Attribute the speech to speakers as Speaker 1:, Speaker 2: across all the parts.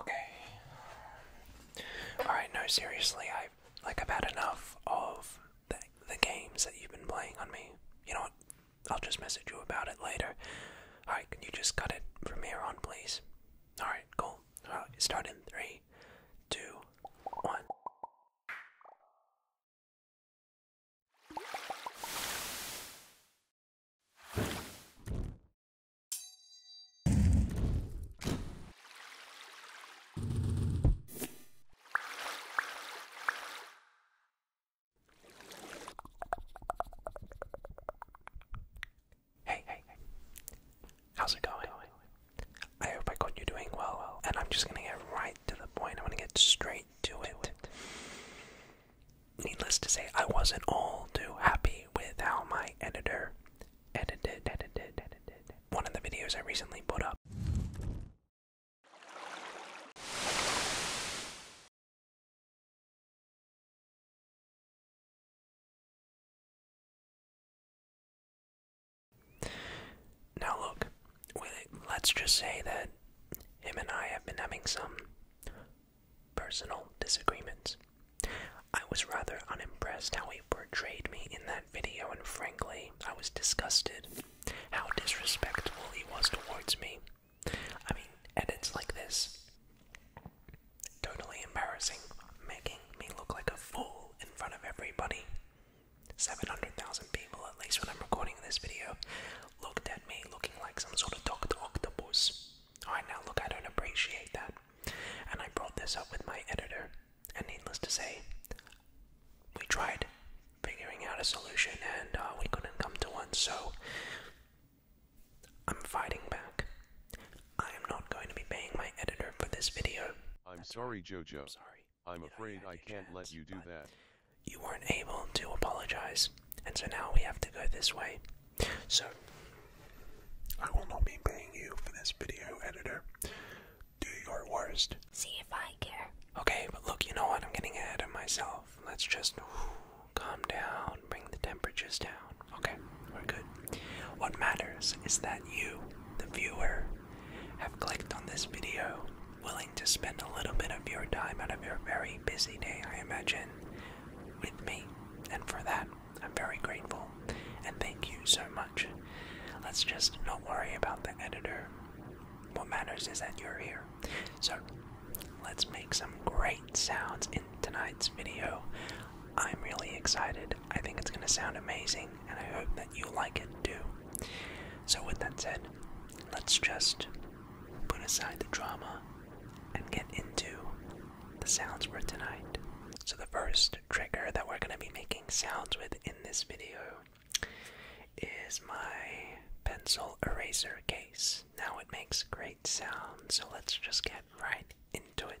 Speaker 1: Okay. Alright, no, seriously, I like I've had enough of the games that you've been playing on me. You know what? I'll just message you about it later. Alright, can you just cut it from here on, please? Alright, cool. Alright, start three, two, one. Hey, hey, How's it going? I hope I got you doing well, and I'm just gonna get right to the point. I'm gonna get straight to it. Needless to say, I wasn't all too happy with how my editor edited, one of the videos I recently put up. Now, look, let's just say that him and I have been having some personal disagreements. I was rather unimpressed how he portrayed me in that video, and frankly, I was disgusted how disrespectful he was towards me. I mean, edits like this totally embarrassing, making me look like a fool in front of everybody. 700,000 people, at least when I'm recording this video, looked at me looking like some sort of Dr. Octopus. Alright, now look, I don't appreciate that. And I brought this up with my editor, and needless to say, we tried figuring out a solution and uh, we couldn't come to one, so I'm fighting back. I am not going to be paying my editor for this video. I'm sorry, Jojo. I'm sorry. I'm afraid I can't let you do that. You weren't able to apologize, and so now we have to go this way. So, I will not be paying you for this video editor. Do your worst. See if I care. Okay, but look, you know what? I'm getting ahead of myself. Let's just calm down, bring the temperatures down. Okay, we're good. What matters is that you, the viewer, have clicked on this video, willing to spend a little bit of your time out of your very busy day, I imagine, with me, and for that, I'm very grateful and thank you so much. Let's just not worry about the editor. What matters is that you're here. So, let's make some great sounds in tonight's video. I'm really excited. I think it's going to sound amazing, and I hope that you like it too. So, with that said, let's just put aside the drama and get into the sounds for tonight. So, the first trigger that we're going to be making sounds with in this video is my pencil eraser case. Now, it makes great sounds, so let's just get right into it.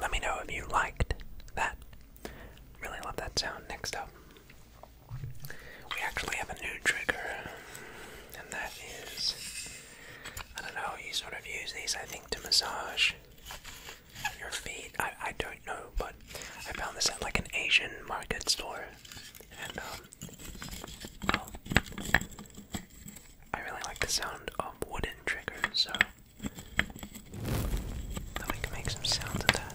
Speaker 1: Let me know if you liked that. Really love that sound. Next up, we actually have a new trigger, and that is I don't know, you sort of use these, I think, to massage your feet. I, I don't know, but I found this at like an Asian market store, and um, well, I really like the sound of wooden triggers, so. Thought we could make some sounds of that.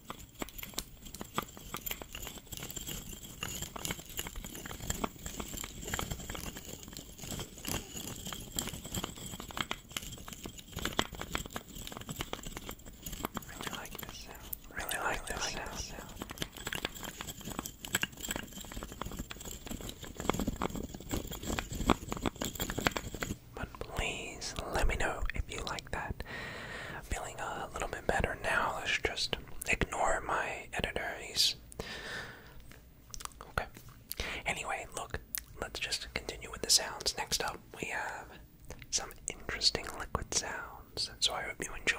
Speaker 1: Really like this sound. Really like this sound. But please let me know if you like that feeling of a little bit better now. Let's just ignore my editor. He's okay. Anyway, look, let's just continue with the sounds. Next up, we have some interesting liquid sounds, so I hope you enjoy.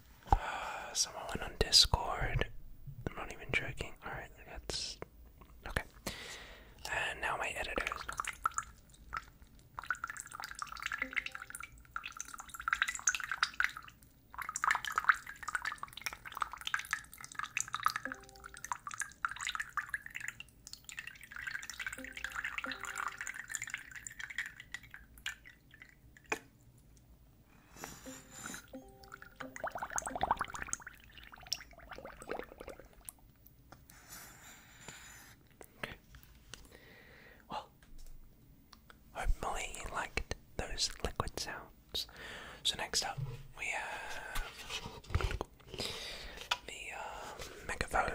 Speaker 1: Uh, someone went on Discord. I'm not even joking. Alright, that's. Okay. And now my editors. Well, hopefully you liked those liquid sounds. So next up we have the uh, megaphone,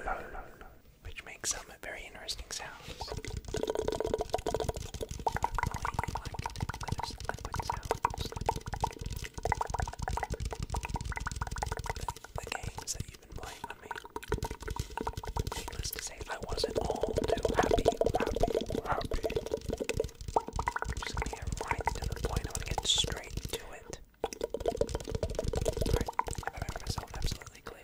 Speaker 1: which makes some very interesting sound. The games that you've been playing with me. Needless to say, I wasn't all too happy, about it. I'm just gonna get right to the point. I'm gonna get straight to it. Alright, I made myself absolutely clear.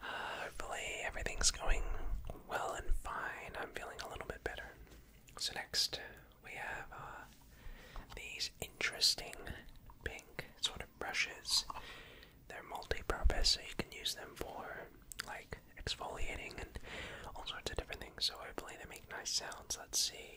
Speaker 1: hopefully, everything's going well and fine. I'm feeling a little bit better. So, next we have uh, these interesting pink sort of brushes. They're multi purpose, so you can use them for like exfoliating and all sorts of different things. So, hopefully, they make nice sounds. Let's see.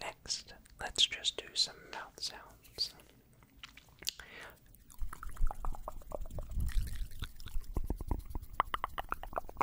Speaker 1: Next, let's just do some mouth sounds.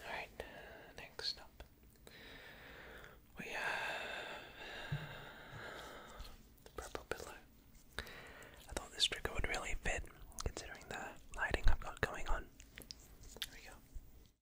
Speaker 1: Alright, next up we have the purple pillow. I thought this trigger would really fit considering the lighting I've got going on. There we go.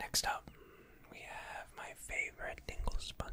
Speaker 1: Next up, we have my favorite tingle sponge.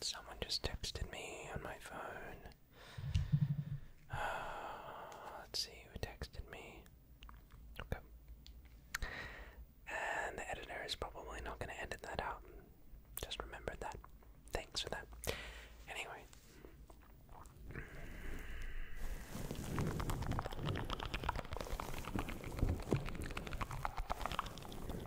Speaker 1: someone just texted me on my phone. Ah, let's see who texted me. Okay. And the editor is probably not going to edit that out. Just remembered that. Thanks for that. Anyway.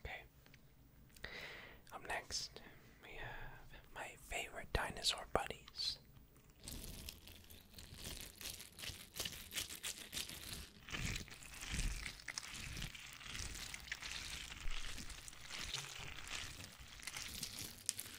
Speaker 1: Okay. Up next, we have my favorite dinosaur buddies.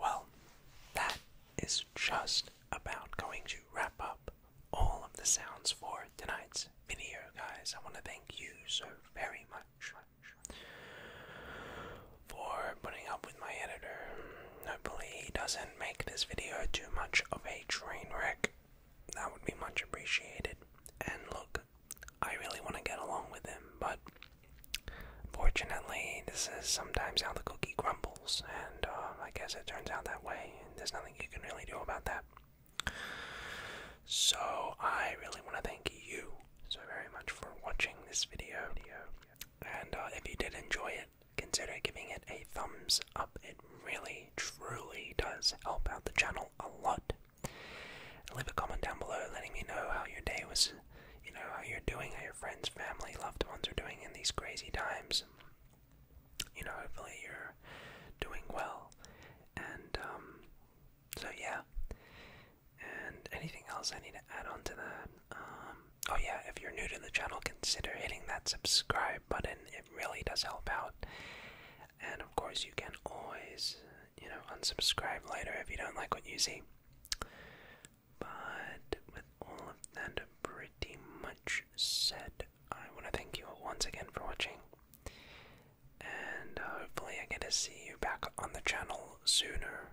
Speaker 1: Well, that is just about going to wrap up all of the sounds for tonight's video, guys. I want to thank you so very much for putting up with my editor. Hopefully, he doesn't make this video too much of a train wreck. That would be much appreciated. And look, I really want to get along with him, but fortunately, this is sometimes how the cookie crumbles, and uh, I guess it turns out that way, and there's nothing you can really do about that. So, I really want to thank you so very much for watching this video, and uh, if you did enjoy it, consider giving it a thumbs up. It really, truly does help out the channel a lot. Leave a comment down below letting me know how your day was, you know, how you're doing, how your friends, family, loved ones are doing in these crazy times. You know, hopefully you're doing well. And, um, so yeah. And anything else I need to add on to that? Um, oh yeah, if you're new to the channel, consider hitting that subscribe button. It really does help out. And of course, you can always, you know, unsubscribe later if you don't like what you see. But with all of that pretty much said, I want to thank you once again for watching. And hopefully, I get to see you back on the channel sooner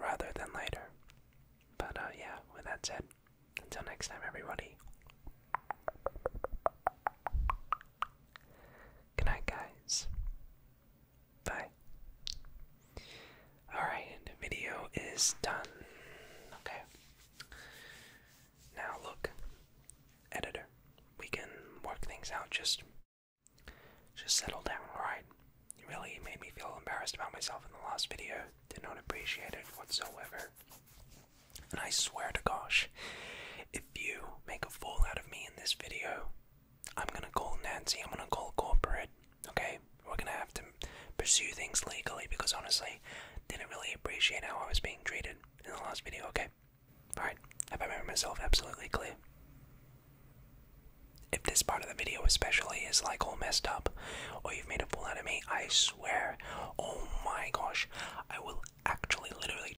Speaker 1: rather than later. But uh, yeah, with that said, until next time, everybody. Good night, guys. Bye. Alright, video is done. Okay. Now look, editor, we can work things out. Just, just settle down. All right. You really made me feel embarrassed about myself in the last video. Did not appreciate it whatsoever. And I swear to gosh, if you make a fool out of me in this video, I'm gonna call Nancy, I'm gonna call corporate, okay? We're gonna have to pursue things legally because honestly, didn't really appreciate how I was being treated in the last video, okay? Alright, have I made myself absolutely clear? If this part of the video especially is like all messed up, or you've made a fool out of me, I swear, oh my gosh, I will actually literally